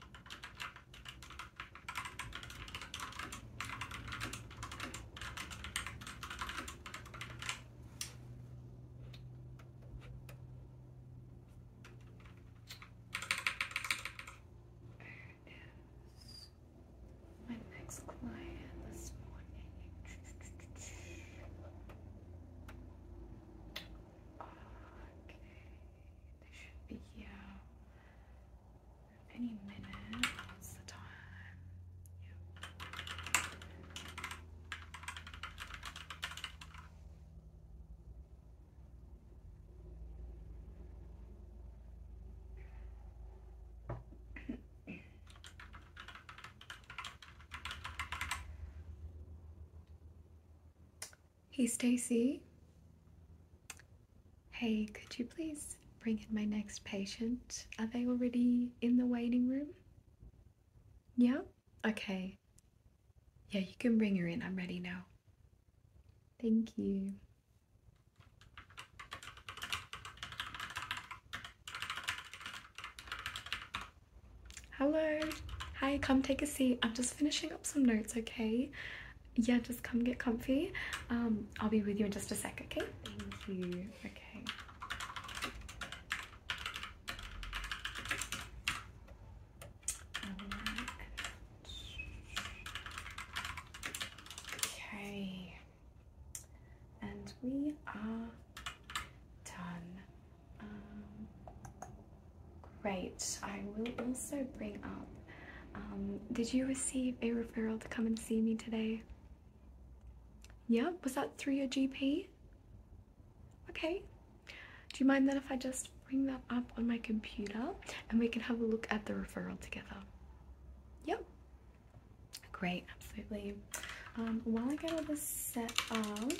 is my next client this morning. Okay. They should be here any minute. What's the time? Yep. Hey, Stacy. Hey, could you please bring in my next patient? Are they already in the waiting room? Yeah? Okay. Yeah, you can bring her in. I'm ready now. Thank you. Hello. Hi, come take a seat. I'm just finishing up some notes, okay? yeah, just come get comfy. Um, I'll be with you in just a second. okay? Thank you. Okay. Okay, and we are done. Um, Great. I will also bring up. Um, did you receive a referral to come and see me today? Yeah, was that through your GP? Okay. Do you mind then if I just bring that up on my computer and we can have a look at the referral together? Yep. Great, absolutely. Um, while I get all this set up,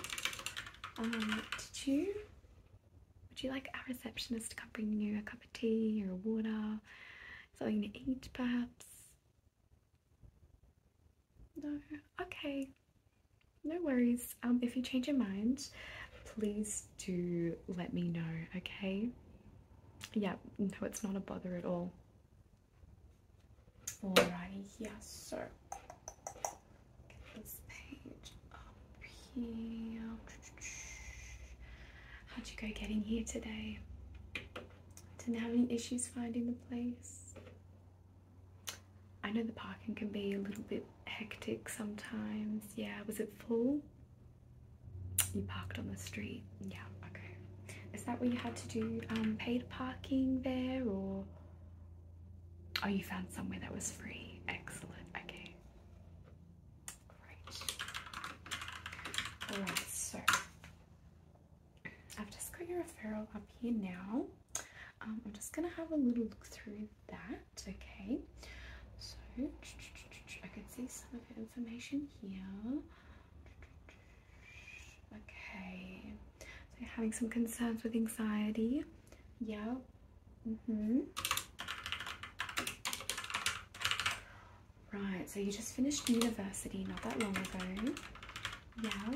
um, did you would you like our receptionist to come bring you a cup of tea or water? Something to eat, perhaps? No? Okay. No worries. Um, if you change your mind, please do let me know, okay? Yeah, no, it's not a bother at all. Alrighty, yes, sir. get this page How'd you go getting here today? Didn't have any issues finding the place? I know the parking can be a little bit hectic sometimes. Yeah, was it full? You parked on the street. Yeah, okay. Is that where you had to do um, paid parking there or? Oh, you found somewhere that was free. Excellent. Okay. Great. Alright, so I've just got your referral up here now. Um, I'm just gonna have a little look through that, okay? So I can see some of your information here. Okay, so you're having some concerns with anxiety. Yeah, Mm-hmm. Right, so you just finished university not that long ago. Yeah.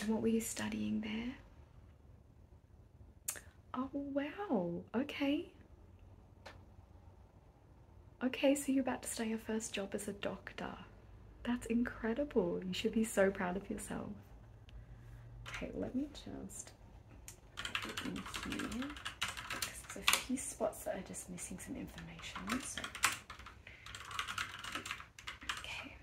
And what were you studying there? Oh, wow. Okay. Okay, so you're about to start your first job as a doctor. That's incredible. You should be so proud of yourself. Okay, let me just in here because a few spots that are just missing some information. So. Okay.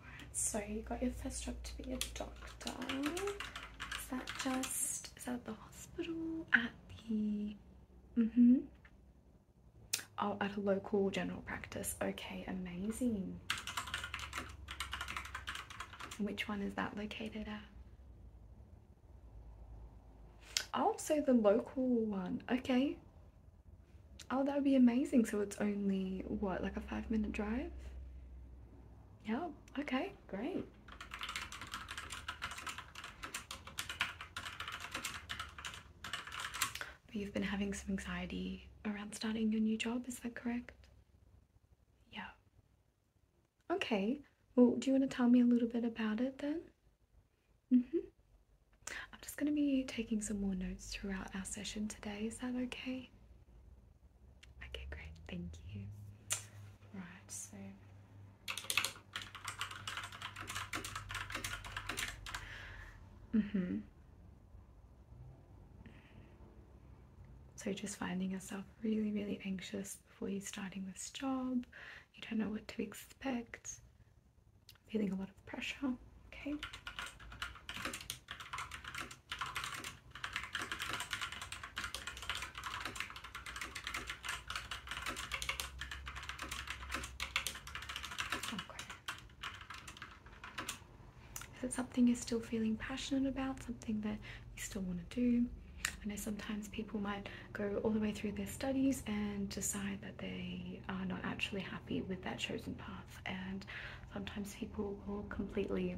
Alright, so you got your first job to be a doctor. Is that just at the hospital? At the mm-hmm. Oh, at a local general practice. Okay, amazing. Which one is that located at? I'll say the local one. Okay. Oh, that would be amazing. So it's only, what, like a five minute drive? Yeah. Okay, great. But you've been having some anxiety around starting your new job, is that correct? Yeah. Okay. Well, do you want to tell me a little bit about it then? Mm-hmm. I'm just going to be taking some more notes throughout our session today. Is that okay? Okay, great. Thank you. Right, so. Mm-hmm. So just finding yourself really, really anxious before you starting this job. You don't know what to expect. Feeling a lot of pressure. Okay. Is it something you're still feeling passionate about? Something that you still want to do? I know sometimes people might go all the way through their studies and decide that they are not actually happy with that chosen path, and sometimes people will completely,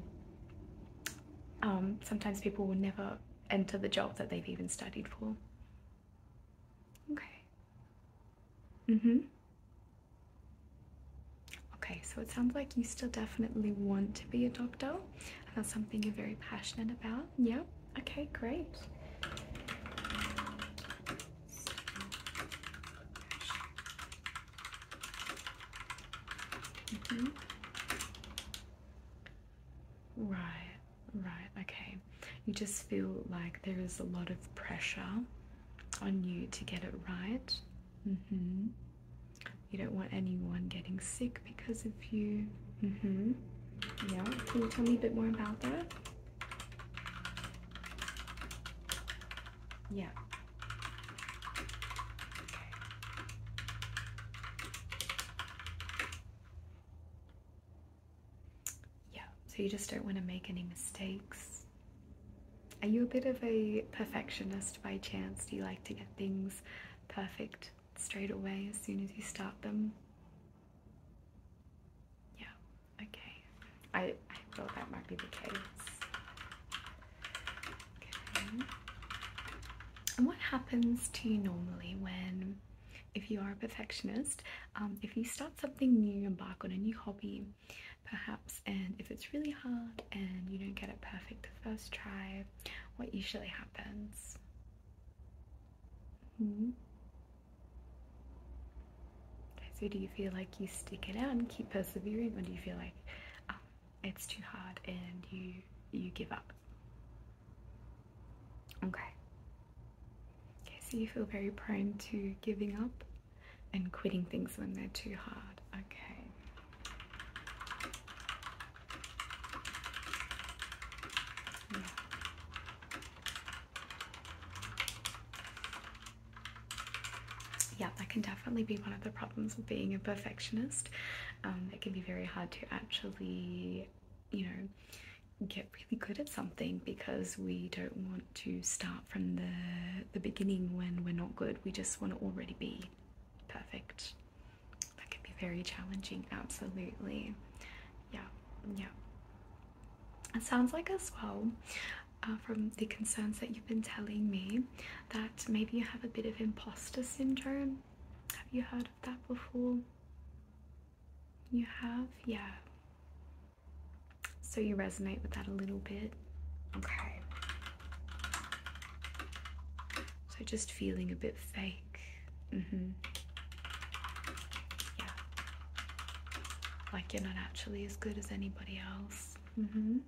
um, sometimes people will never enter the job that they've even studied for. Okay. Mm hmm. Okay, so it sounds like you still definitely want to be a doctor. That's something you're very passionate about. Yep. Okay, great. Mm-hmm. Right, right, okay. You just feel like there is a lot of pressure on you to get it right. Mm-hmm. You don't want anyone getting sick because of you. Mm-hmm. Yeah. Can you tell me a bit more about that? Yeah. Yeah. So you just don't want to make any mistakes. Are you a bit of a perfectionist by chance? Do you like to get things perfect? straight away as soon as you start them. Yeah, okay. I, I thought that might be the case. And what happens to you normally when, if you are a perfectionist, um, if you start something new, embark on a new hobby, perhaps, and if it's really hard and you don't get it perfect the first try, what usually happens. Okay, hmm. so do you feel like you stick it out and keep persevering, or do you feel like ah, it's too hard and you you give up? Okay. Okay, so you feel very prone to giving up and quitting things when they're too hard. Okay. Yeah. that can definitely be one of the problems of being a perfectionist. Um, it can be very hard to actually, you know, get really good at something because we don't want to start from the the beginning when we're not good. We just want to already be perfect that could be very challenging absolutely yeah yeah it sounds like as well uh, from the concerns that you've been telling me that maybe you have a bit of imposter syndrome have you heard of that before you have yeah so you resonate with that a little bit okay so just feeling a bit fake like, mm-hmm. yeah, like you're not actually as good as anybody else. Mm-hmm.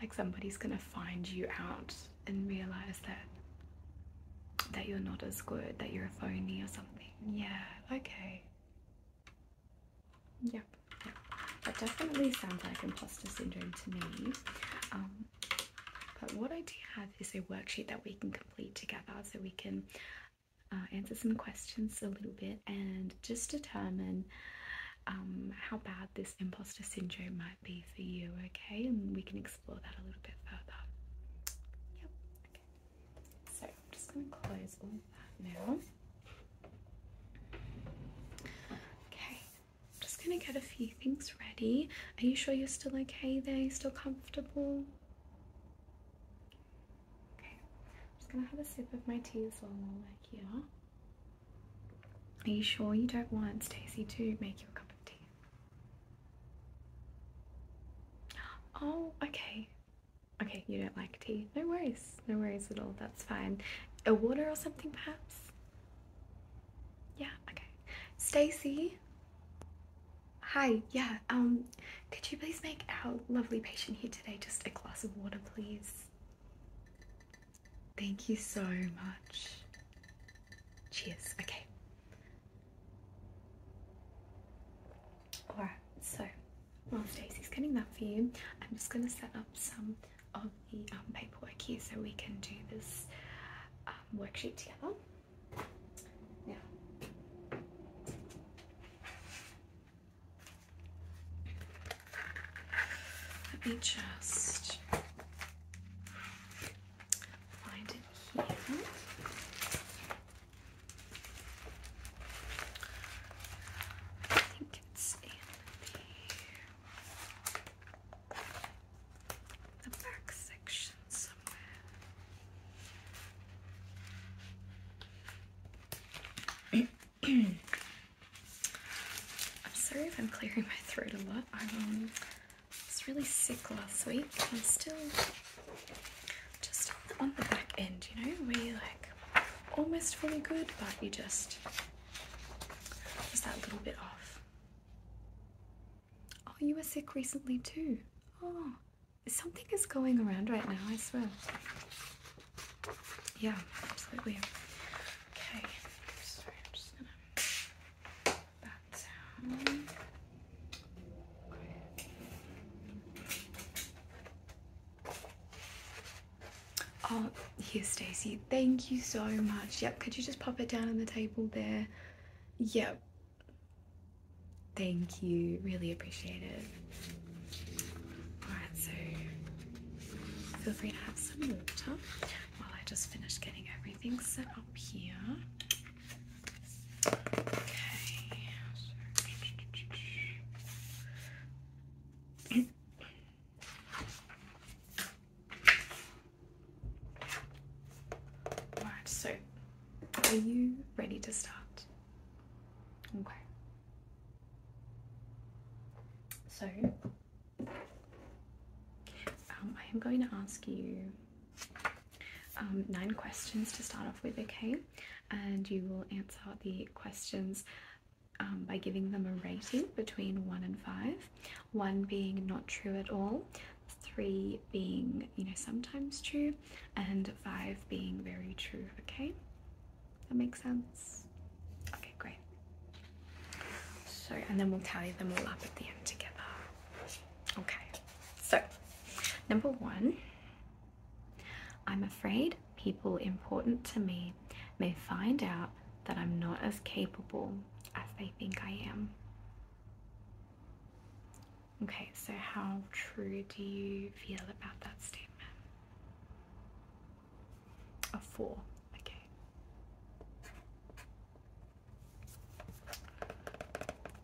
Like somebody's gonna find you out and realize that that you're not as good, that you're a phony or something. Yeah, okay. Yep, That definitely sounds like imposter syndrome to me. Um, but what I do have is a worksheet that we can complete together so we can uh, answer some questions a little bit and just determine um, how bad this imposter syndrome might be for you, okay? And we can explore that a little bit further. Yep, So I'm just going to close all of that now. Okay, I'm just gonna get a few things ready. Are you sure you're still okay there? You're still comfortable? Okay, I'm just gonna have a sip of my tea while we're here. Are you sure you don't want Stacy to make you a cup of tea? Oh, okay. Okay, you don't like tea. No worries. No worries at all. That's fine. A water or something, perhaps? Yeah, okay. Stacy? Hi, yeah, um, could you please make our lovely patient here today just a glass of water, please? Thank you so much. Cheers, okay. Alright, so well, Stacey's getting that for you. I'm just going to set up some of the um, paperwork here so we can do this um, worksheet together. Now, let me just find it here the, back section somewhere. I'm sorry if I'm clearing my throat a lot. I um, was really sick last week. I'm still just on the back end, you know, where you're like almost fully good, but you just is that a little bit off. Oh, you were sick recently too. Oh, something is going around right now, I swear. Yeah, absolutely. Okay, so I'm just gonna that down. Okay. Oh, here, Stacey. Thank you so much. Yep, could you just pop it down on the table there? Yep. Thank you. Really appreciate it. Alright, so feel free to have some water while I just finish getting everything set up here. Okay. Right, so are you ready to start? Okay. So, um, I am going to ask you um, nine questions to start off with, okay? And you will answer the questions um, by giving them a rating between one and five, one being not true at all, three being, you know, sometimes true, and five being very true. Okay, that makes sense. Okay, great. So, and then we'll tally them all up at the end together. Okay, so number one, I'm afraid people important to me may find out that I'm not as capable as they think I am. Okay, so how true do you feel about that statement? A four, okay.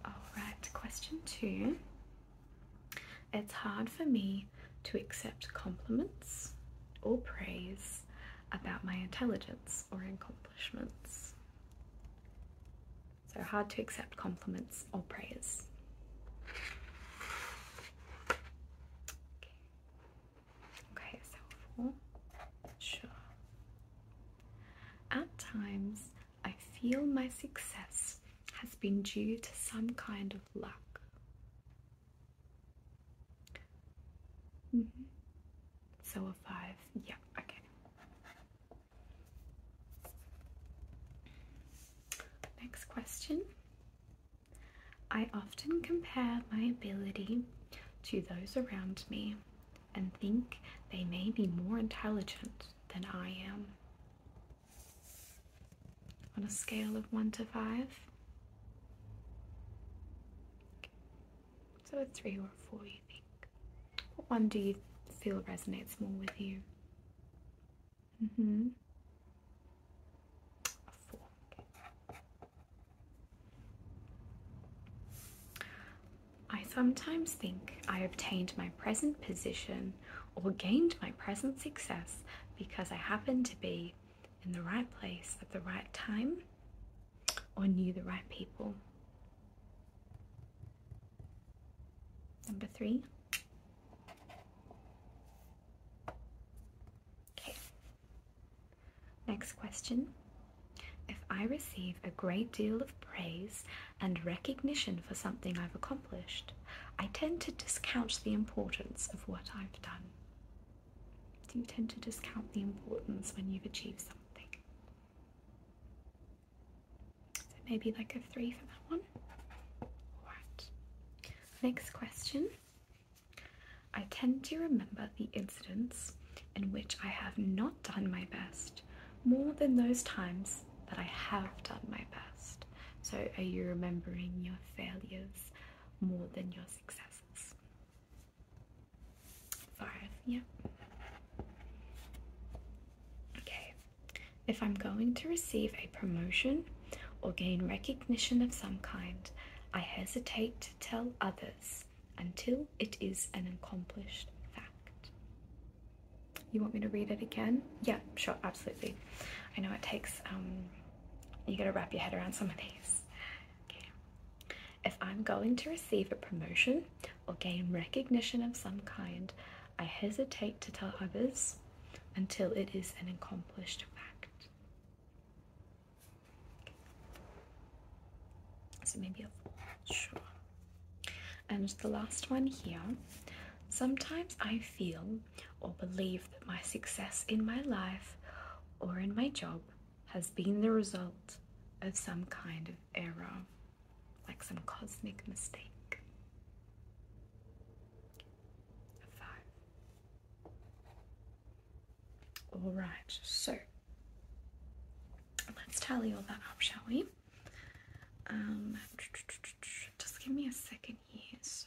Alright, question two. It's hard for me to accept compliments or praise about my intelligence or accomplishments. So hard to accept compliments or praise. okay so four. Sure. At times, I feel my success has been due to some kind of luck Mm-hmm. So a five, yeah, okay. Next question. I often compare my ability to those around me and think they may be more intelligent than I am. On a scale of 1 to 5, so a three or a four, you think? What one do you feel resonates more with you? Mm hmm. A four. I sometimes think I obtained my present position or gained my present success because I happen to be in the right place at the right time or knew the right people. Number three. Okay. Next question. If I receive a great deal of praise and recognition for something I've accomplished, I tend to discount the importance of what I've done. Do you tend to discount the importance when you've achieved something? So maybe like a three for that one. Alright. Next question. I tend to remember the incidents in which I have not done my best more than those times that I have done my best. So, are you remembering your failures more than your successes? Five, yep. Okay, if I'm going to receive a promotion or gain recognition of some kind, I hesitate to tell others until it is an accomplished fact. You want me to read it again? Yeah, sure, absolutely. I know it takes, um, you gotta wrap your head around some of these. If I'm going to receive a promotion or gain recognition of some kind, I hesitate to tell others until it is an accomplished fact. So maybe a sure. And the last one here. Sometimes I feel or believe that my success in my life or in my job has been the result of some kind of error, like some cosmic mistake. Five. All right, so let's tally all that up, shall we? Um, just give me a second here. So,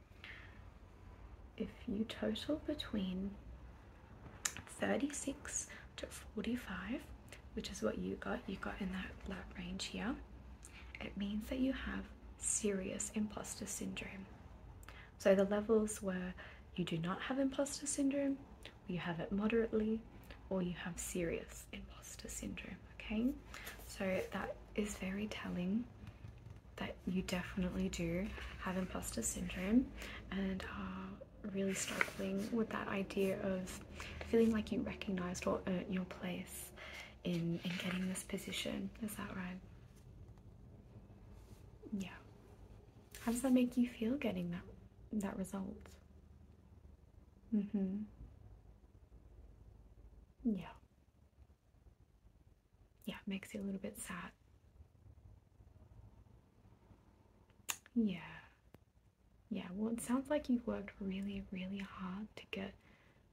if you total between 36 to 45 which is what you got you got in that that range here it means that you have serious imposter syndrome so the levels were you do not have imposter syndrome you have it moderately or you have serious imposter syndrome okay so that is very telling that you definitely do have imposter syndrome and are really struggling with that idea of feeling like you recognized or earned your place in, in getting this position. Is that right? Yeah. How does that make you feel getting that that result? Mm-hmm. Yeah yeah, it makes you a little bit sad. Yeah. Yeah, well, it sounds like you've worked really, really hard to get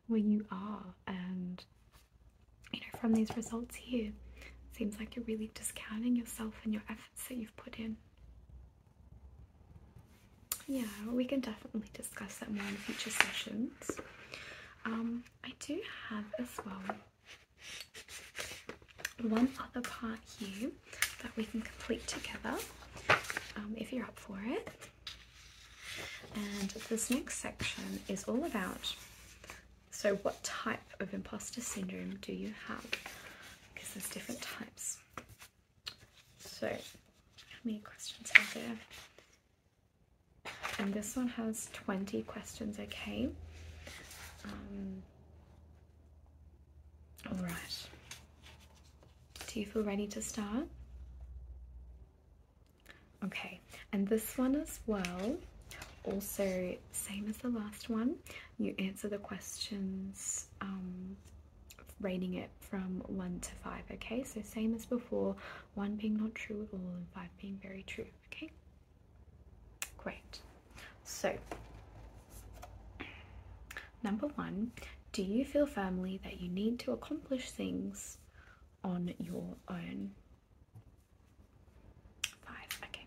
where you are, and you know, from these results here, seems like you're really discounting yourself and your efforts that you've put in. Yeah, we can definitely discuss that more in future sessions. Um, I do have as well one other part here that we can complete together um, if you're up for it. And this next section is all about so what type of imposter syndrome do you have? Because there's different types. So how many questions are there? And this one has 20 questions, okay? Um, alright. Do you feel ready to start? Okay, and this one as well, also same as the last one, you answer the questions um, rating it from 1 to 5, okay? So same as before, 1 being not true at all and 5 being very true. Okay, great. So, number one, do you feel firmly that you need to accomplish things on your own? Five, okay.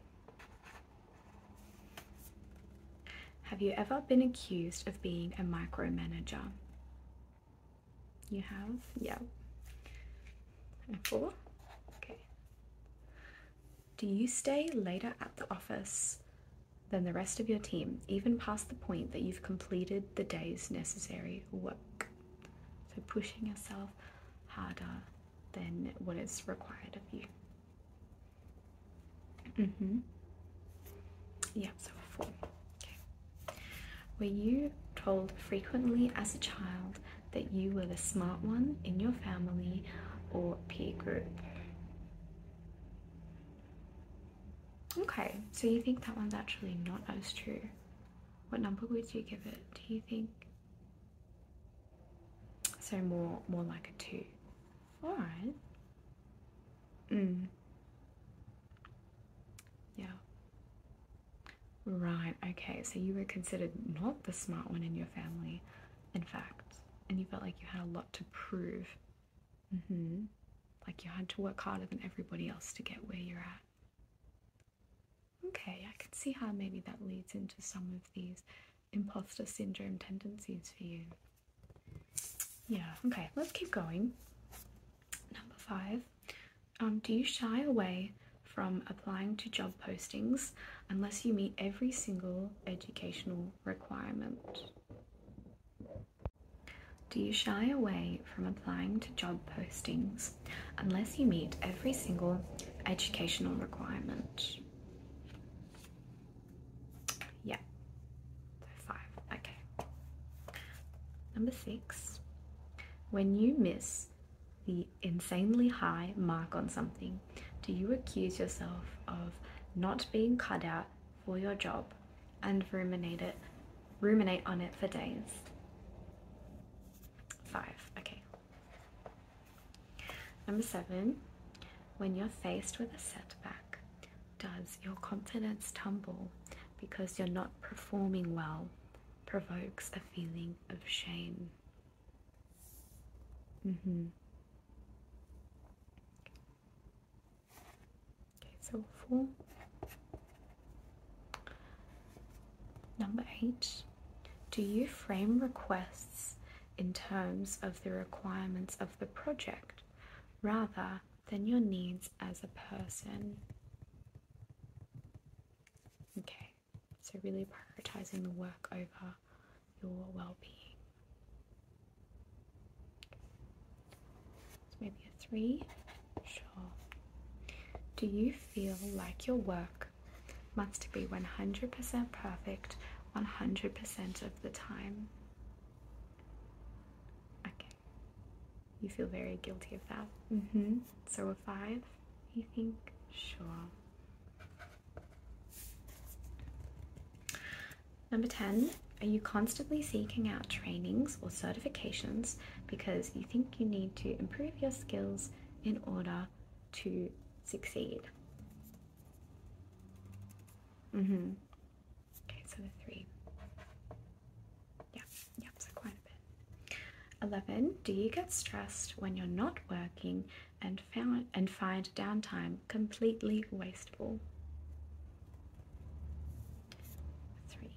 Have you ever been accused of being a micromanager? You have? Yeah. And four? Okay. Do you stay later at the office than the rest of your team, even past the point that you've completed the day's necessary work? So pushing yourself harder than what is required of you. Mm-hmm. Yeah, so four. Okay. Were you told frequently as a child that you were the smart one in your family or peer group? Okay, so you think that one's actually not as true. What number would you give it? Do you think? So more more like a two. Alright. Mm. Yeah. Right, okay, so you were considered not the smart one in your family, in fact, and you felt like you had a lot to prove. Mm-hmm. Like you had to work harder than everybody else to get where you're at. Okay, I can see how maybe that leads into some of these imposter syndrome tendencies for you. Yeah, okay, let's keep going. Number five. Um, do you shy away from applying to job postings unless you meet every single educational requirement? Do you shy away from applying to job postings unless you meet every single educational requirement? Yeah, five, okay. Number six, when you miss the insanely high mark on something, do you accuse yourself of not being cut out for your job and ruminate it, ruminate on it for days? Five. Okay. Number seven. When you're faced with a setback, does your confidence tumble because you're not performing well? Provokes a feeling of shame. Mm-hmm. Okay, so four. Number eight. Do you frame requests in terms of the requirements of the project rather than your needs as a person? Okay, so, really prioritizing the work over your well being. So, maybe a three. Sure. Do you feel like your work must be 100% perfect 100% of the time? Okay. You feel very guilty of that. hmm So a five. You think? Sure. Number 10. Are you constantly seeking out trainings or certifications because you think you need to improve your skills in order to succeed? Mm hmm. Okay, so the three. Yeah. Yep, so quite a bit. 11. Do you get stressed when you're not working and found and find downtime completely wasteful? 3.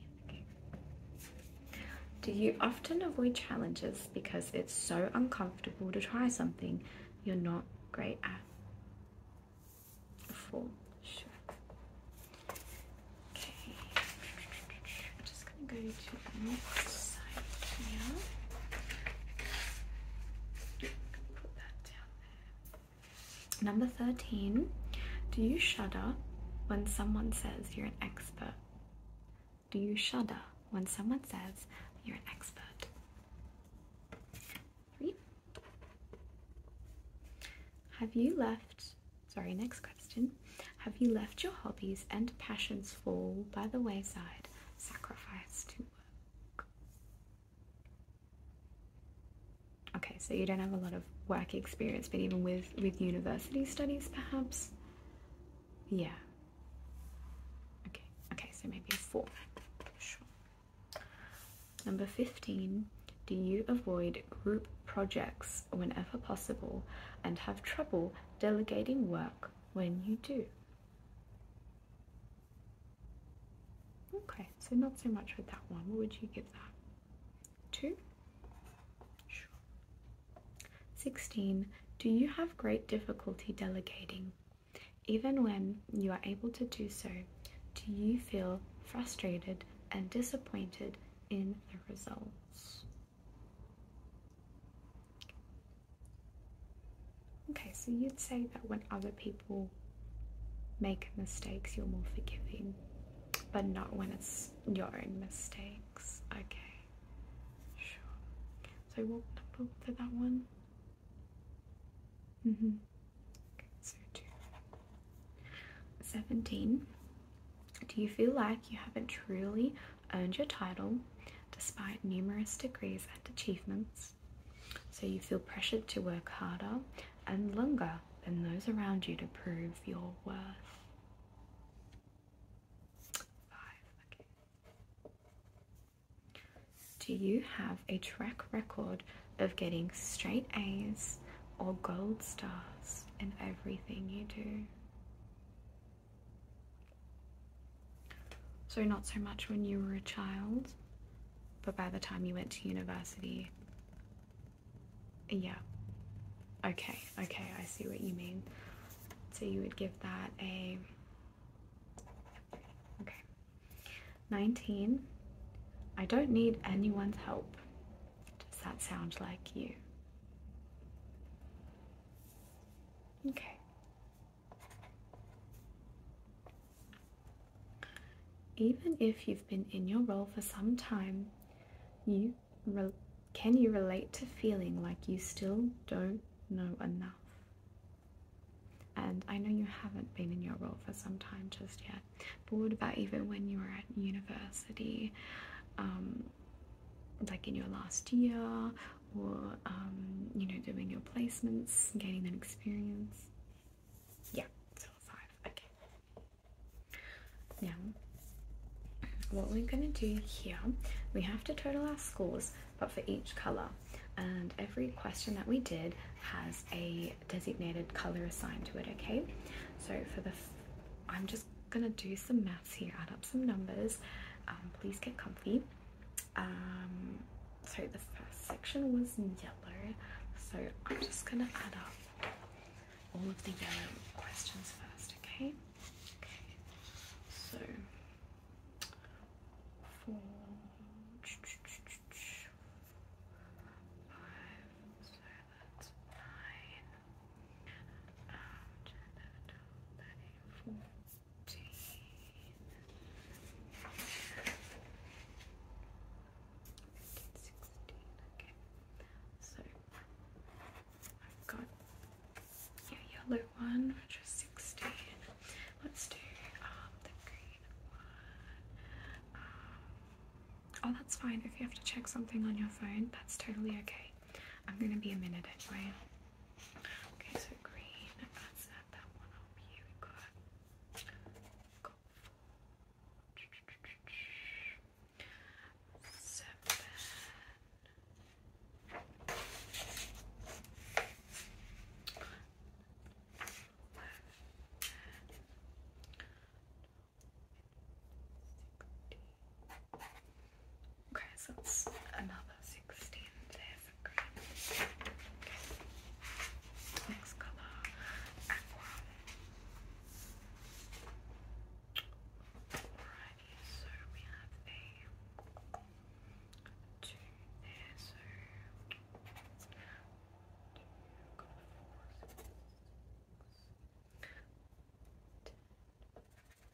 Do you often avoid challenges because it's so uncomfortable to try something you're not great at? 4. Okay go to next side here. Number 13. Do you shudder when someone says you're an expert? Do you shudder when someone says you're an expert? Three. Have you left? Sorry, next question. Have you left your hobbies and passions fall by the wayside, sacrifice to work? Okay, so you don't have a lot of work experience, but even with with university studies, perhaps. Yeah. Okay. Okay. So maybe a four. Sure. Number fifteen. Do you avoid group projects whenever possible and have trouble delegating work when you do. Okay, so not so much with that one. What would you give that? Two? Sure. 16. Do you have great difficulty delegating? Even when you are able to do so, do you feel frustrated and disappointed in the results? Okay, so you'd say that when other people make mistakes, you're more forgiving, but not when it's your own mistakes. Okay, sure. So, what number for that one? Mm hmm. Okay, so, two. 17. Do you feel like you haven't truly earned your title despite numerous degrees and achievements. So you feel pressured to work harder and longer than those around you to prove your worth. Do you have a track record of getting straight A's or gold stars in everything you do? So, not so much when you were a child, but by the time you went to university. Yeah. Okay, okay, I see what you mean. So, you would give that a. Okay. 19. I don't need anyone's help. Does that sound like you? Okay. Even if you've been in your role for some time, you can you relate to feeling like you still don't know enough? And I know you haven't been in your role for some time just yet, but what about even when you were at university, um, like in your last year, or um, you know, doing your placements, gaining that experience. Yeah, five. Okay. Now, what we're going to do here, we have to total our scores, but for each color. And every question that we did has a designated color assigned to it. Okay, so for the, I'm just gonna do some math maths here, add up some numbers. Um, please get comfy. Um, so the first section was yellow, so I'm just gonna add up all of the yellow questions first, okay? Okay, so four, five, so that's nine, um, 10, 12, okay. So I've got your yellow one, which is 16. Let's do um, the green one. Um, oh, that's fine. If you have to check something on your phone, that's totally okay. I'm gonna be a minute anyway. Okay, so green, that's that, that one up here. we got gold, Okay, so that's another 16. There's a green. Next color, aqua. Alrighty, so we have a two there, so two, got four, six, six, ten,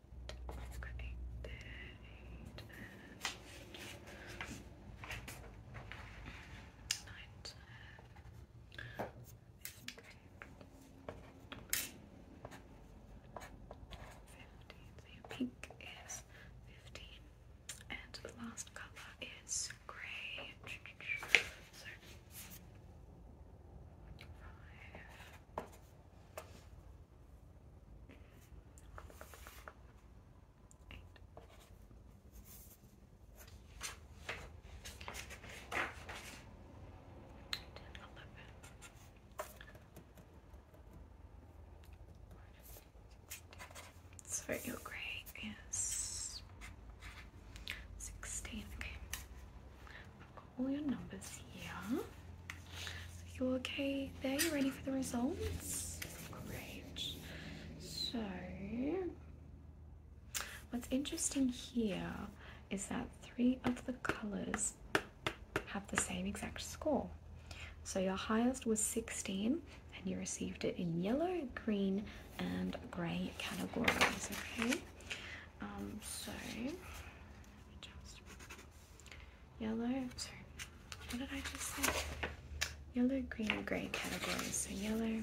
Let's eight and pink is fifteen, and the last color is grey. five. So your grey is 16. Okay, got all your numbers here you okay there? You ready for the results? Great. So, what's interesting here is that three of the colors have the same exact score. So your highest was 16 and you received it in yellow, green and grey categories, okay? Um, so, just Yellow, sorry, what did I just say? Yellow, green, and grey categories. So yellow,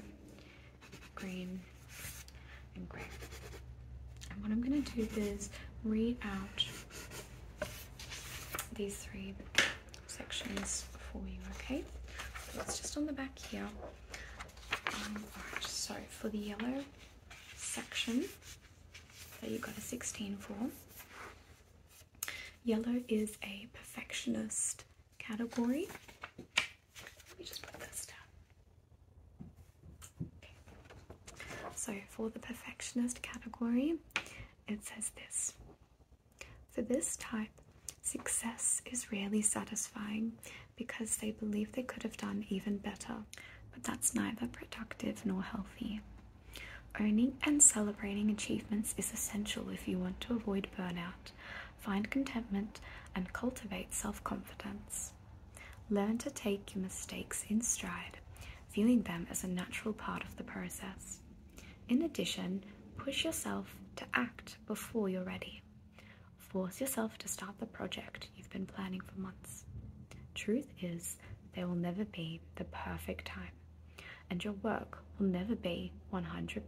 green, and grey. And what I'm going to do is read out these three sections for you, okay? it's just on the back here. Um, so for the yellow section so you have got a 16 for, Yellow is a perfectionist category. Let me just put this down. So, for the perfectionist category, it says this For this type, success is rarely satisfying because they believe they could have done even better, but that's neither productive nor healthy. Owning and celebrating achievements is essential if you want to avoid burnout, find contentment, and cultivate self confidence. Learn to take your mistakes in stride, viewing them as a natural part of the process. In addition, push yourself to act before you're ready. Force yourself to start the project you've been planning for months. Truth is, there will never be the perfect time, and your work will never be 100%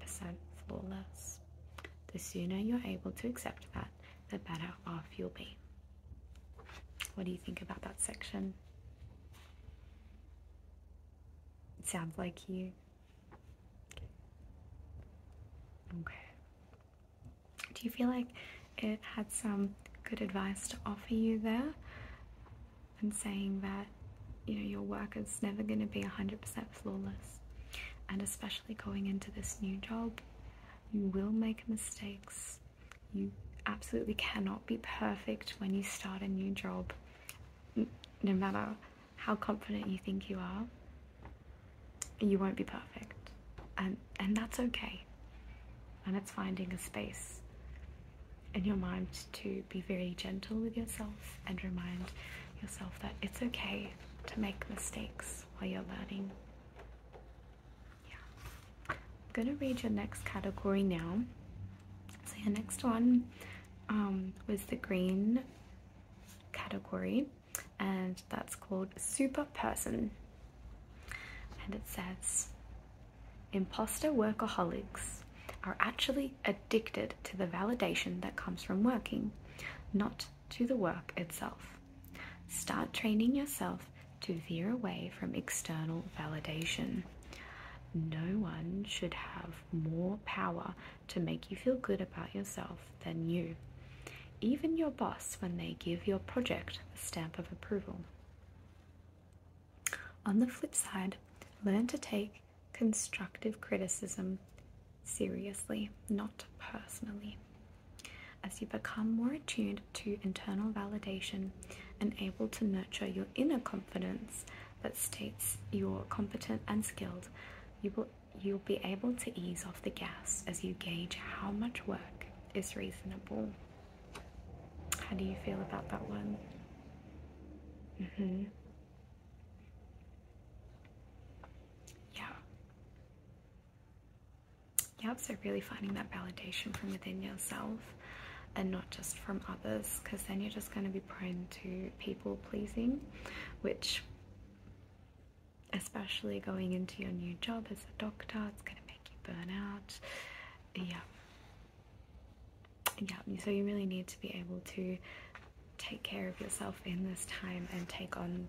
flawless. The sooner you're able to accept that, the better off you'll be. What do you think about that section? It sounds like you. Okay. Do you feel like it had some good advice to offer you there? and saying that you know your work is never going to be 100% flawless and especially going into this new job you will make mistakes you absolutely cannot be perfect when you start a new job no matter how confident you think you are you won't be perfect and and that's okay and it's finding a space in your mind to be very gentle with yourself and remind yourself that it's okay to make mistakes while you're learning. Yeah. I'm going to read your next category now. So, your next one um, was the green category, and that's called Super Person. And it says, Imposter workaholics are actually addicted to the validation that comes from working, not to the work itself. Start training yourself to veer away from external validation. No one should have more power to make you feel good about yourself than you. Even your boss, when they give your project the stamp of approval. On the flip side, learn to take constructive criticism seriously, not personally. As you become more attuned to internal validation and able to nurture your inner confidence that states you're competent and skilled, you will you'll be able to ease off the gas as you gauge how much work is reasonable how do you feel about that one? Mm-hmm. Yeah. Yep, so really finding that validation from within yourself and not just from others, because then you're just going to be prone to people pleasing, which, especially going into your new job as a doctor, it's going to make you burn out. Yeah yeah, so you really need to be able to take care of yourself in this time and take on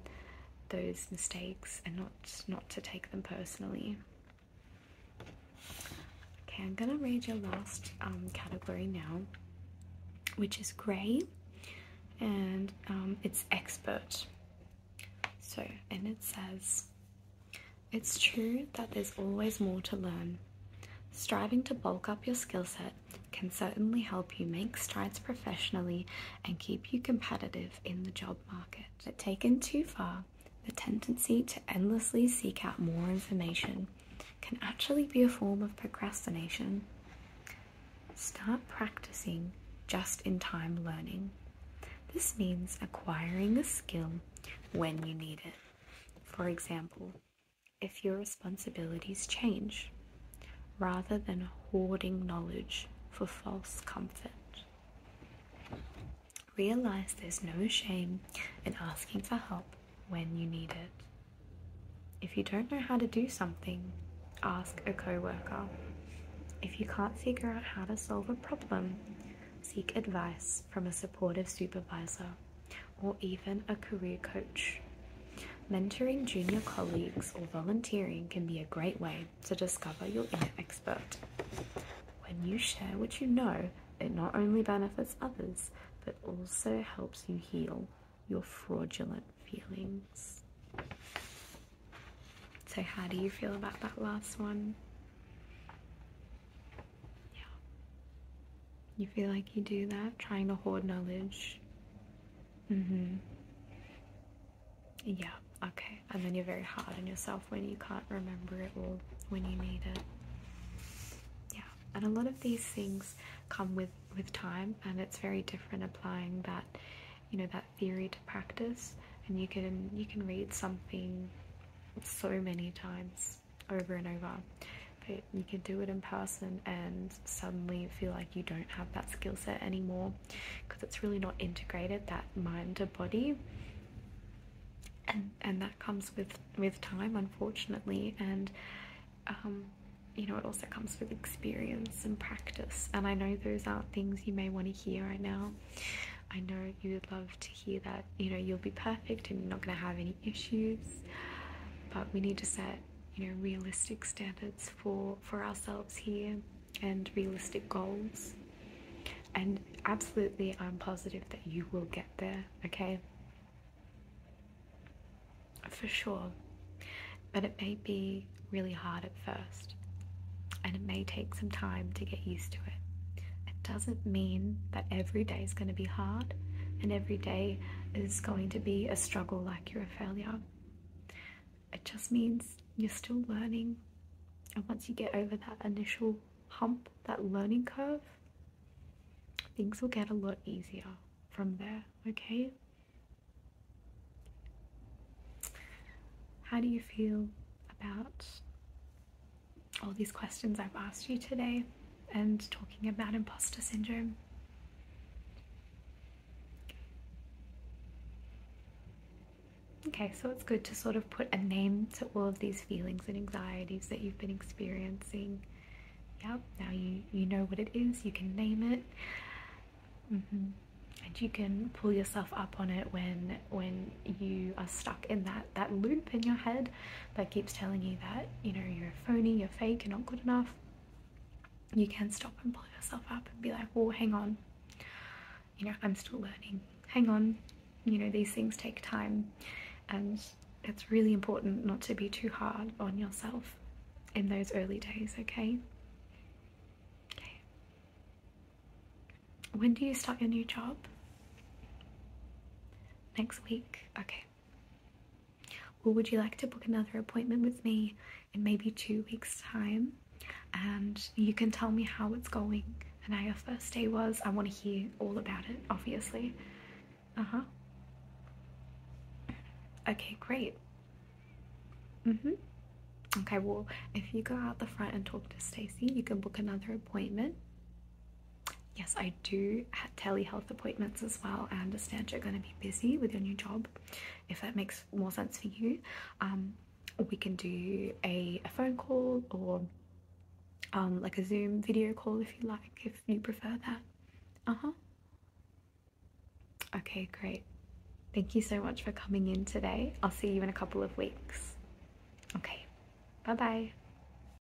those mistakes and not not to take them personally. Okay, I'm gonna read your last um, category now, which is grey, and um, it's expert. So, and it says, it's true that there's always more to learn. Striving to bulk up your skill set can certainly help you make strides professionally and keep you competitive in the job market. But taken too far, the tendency to endlessly seek out more information can actually be a form of procrastination. Start practicing just in time learning. This means acquiring a skill when you need it. For example, if your responsibilities change, rather than hoarding knowledge for false comfort. Realize there's no shame in asking for help when you need it. If you don't know how to do something, ask a coworker. If you can't figure out how to solve a problem, seek advice from a supportive supervisor or even a career coach. Mentoring junior colleagues or volunteering can be a great way to discover your inner expert. When you share what you know, it not only benefits others but also helps you heal your fraudulent feelings. So, how do you feel about that last one? Yeah. You feel like you do that, trying to hold knowledge. Mm-hmm. Yeah, okay. And then you're very hard on yourself when you can't remember it all when you need it. Yeah. And a lot of these things come with with time and it's very different applying that you know that theory to practice and you can you can read something so many times over and over. But you can do it in person and suddenly feel like you don't have that skill set anymore because it's really not integrated that mind to body. And, and that comes with with time unfortunately and um, you know it also comes with experience and practice and I know those aren't things you may want to hear right now I know you would love to hear that you know you'll be perfect and you're not going to have any issues but we need to set you know realistic standards for for ourselves here and realistic goals and absolutely i'm positive that you will get there okay for sure but it may be really hard at first and it may take some time to get used to it it doesn't mean that every day is going to be hard and every day is going to be a struggle like you're a failure. It just means you're still learning. And once you get over that initial hump, that learning curve, things will get a lot easier from there, okay? How do you feel about all these questions I've asked you today and talking about imposter syndrome. Okay, so it's good to sort of put a name to all of these feelings and anxieties that you've been experiencing. Yeah, now you, you know what it is, you can name it. Mm-hmm. And you can pull yourself up on it when when you are stuck in that that loop in your head that keeps telling you that you know you're a phony you're fake you're not good enough you can stop and pull yourself up and be like well hang on you know i'm still learning hang on you know these things take time and it's really important not to be too hard on yourself in those early days okay when do you start your new job next week okay or would you like to book another appointment with me in maybe two weeks' time? And you can tell me how it's going and how your first day was. I want to hear all about it, obviously. Uh huh. Okay, great. Mm hmm. Okay, well, if you go out the front and talk to Stacy, you can book another appointment yes, I do telehealth appointments as well. I understand you're going to be busy with your new job. If that makes more sense for you, um, we can do a, phone call or um, like a Zoom video call if you like, if you prefer that. Uh huh. Okay, great. Thank you so much for coming in today. I'll see you in a couple of weeks. Okay, bye bye.